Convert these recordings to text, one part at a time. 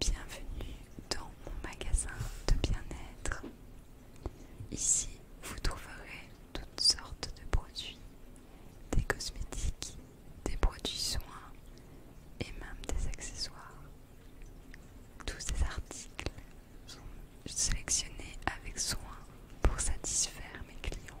Bienvenue dans mon magasin de bien-être. Ici, vous trouverez toutes sortes de produits, des cosmétiques, des produits soins et même des accessoires. Tous ces articles sont sélectionnés avec soin pour satisfaire mes clients.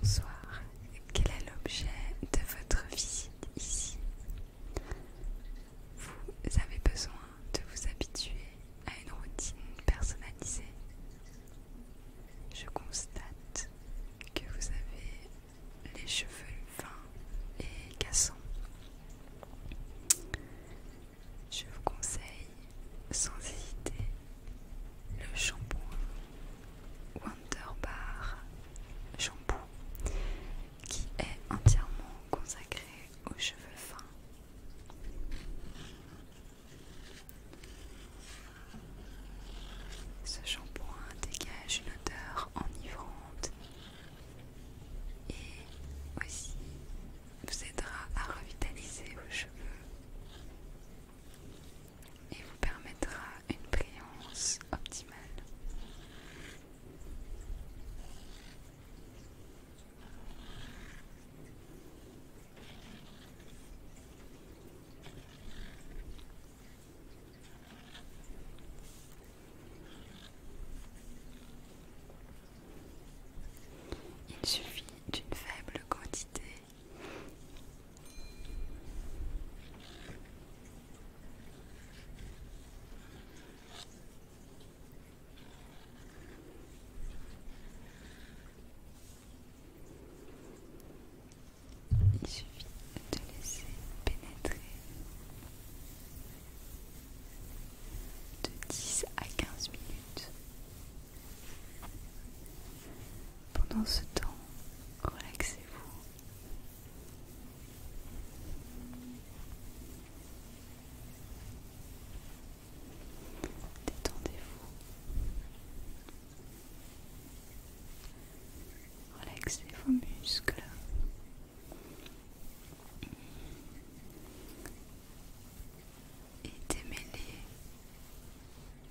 Bonsoir, quel est l'objet de votre visite ici Vous avez besoin de vous habituer à une routine personnalisée. Je constate que vous avez les cheveux fins et cassants. Je vous conseille sans hésiter le shampoing Wonder Bar Shampoo qui est entièrement consacré aux cheveux fins. Ce shampoing dégage une odeur enivrante et aussi vous aidera à revitaliser vos cheveux et vous permettra une brillance optimale. Il suffit d'une faible quantité il suffit de laisser pénétrer de 10 à 15 minutes. Pendant ce temps, relaxez-vous. Détendez-vous. Relaxez vos muscles. Et démêlez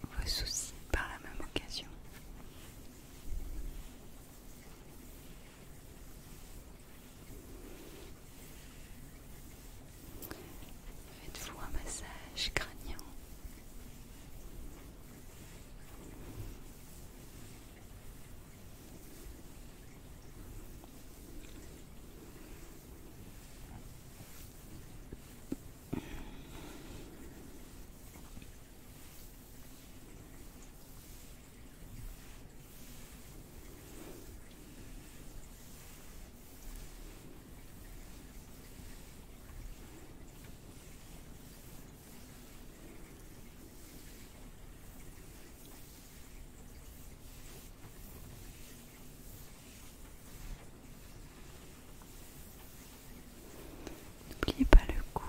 vos soucis par la même occasion. Faites-vous un massage craignant? N'oubliez pas le cou.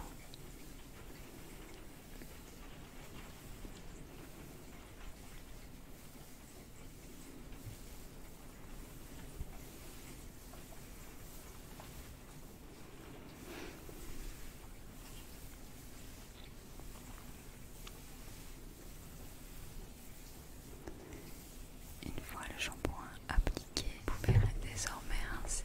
Une fois le shampoing appliqué, vous pouvez désormais rincer.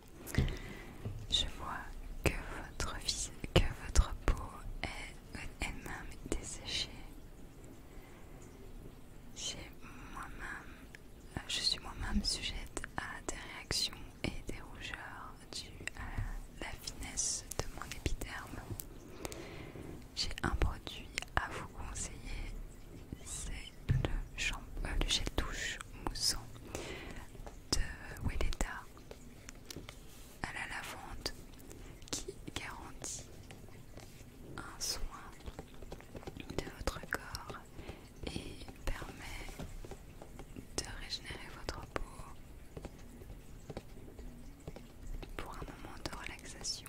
Je vois que votre, votre peau est elle-même desséchée. Euh, je suis moi-même sujette à des réactions et des rougeurs dues à la finesse de mon épiderme. J'ai un produit à vous conseiller, c'est le, euh, gel douche moussant de Welleda à la lavande qui garantit un soin de votre corps et permet de régénérer votre peau pour un moment de relaxation.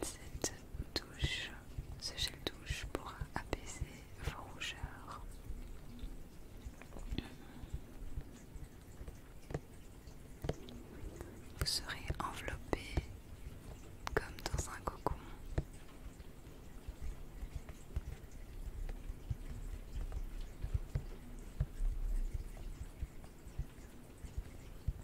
Cette douche, ce gel douche pourra apaiser vos rougeurs. Vous serez enveloppé comme dans un cocon.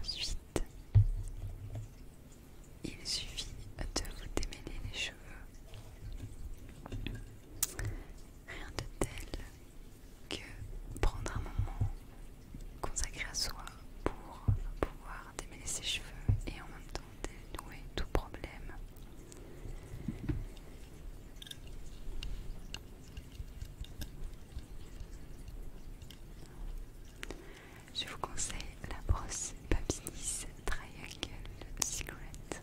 Ensuite, il suffit de vous démêler les choses. Rien de tel que prendre un moment consacré à soi pour pouvoir démêler ses cheveux et en même temps dénouer tout problème. Je vous conseille la brosse Babyliss Triangle Secret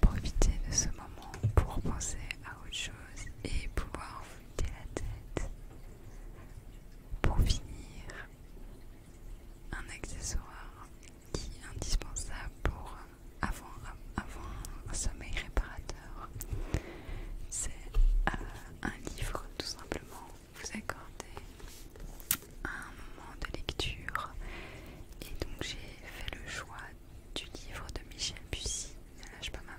Profitez de ce moment pour penser à autre chose et pouvoir vous vider la tête. Pour finir, un accessoire qui est indispensable pour avoir avant un sommeil réparateur. C'est euh, un livre tout simplement. Vous accordez un moment de lecture. Et donc j'ai fait le choix du livre de Michel Bussy. Ne lâche pas ma main.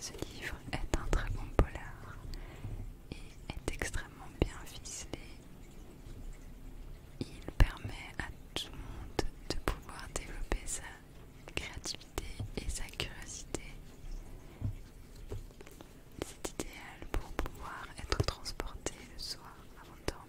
Ce livre est un très bon polar et est extrêmement bien ficelé. Il permet à tout le monde de pouvoir développer sa créativité et sa curiosité. C'est idéal pour pouvoir être transporté le soir avant de dormir.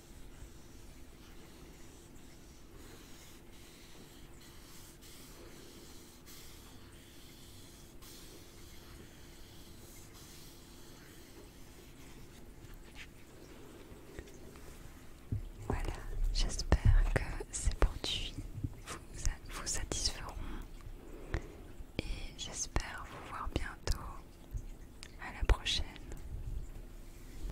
Voilà, j'espère que ces produits vous, vous satisferont et j'espère vous voir bientôt. À la prochaine.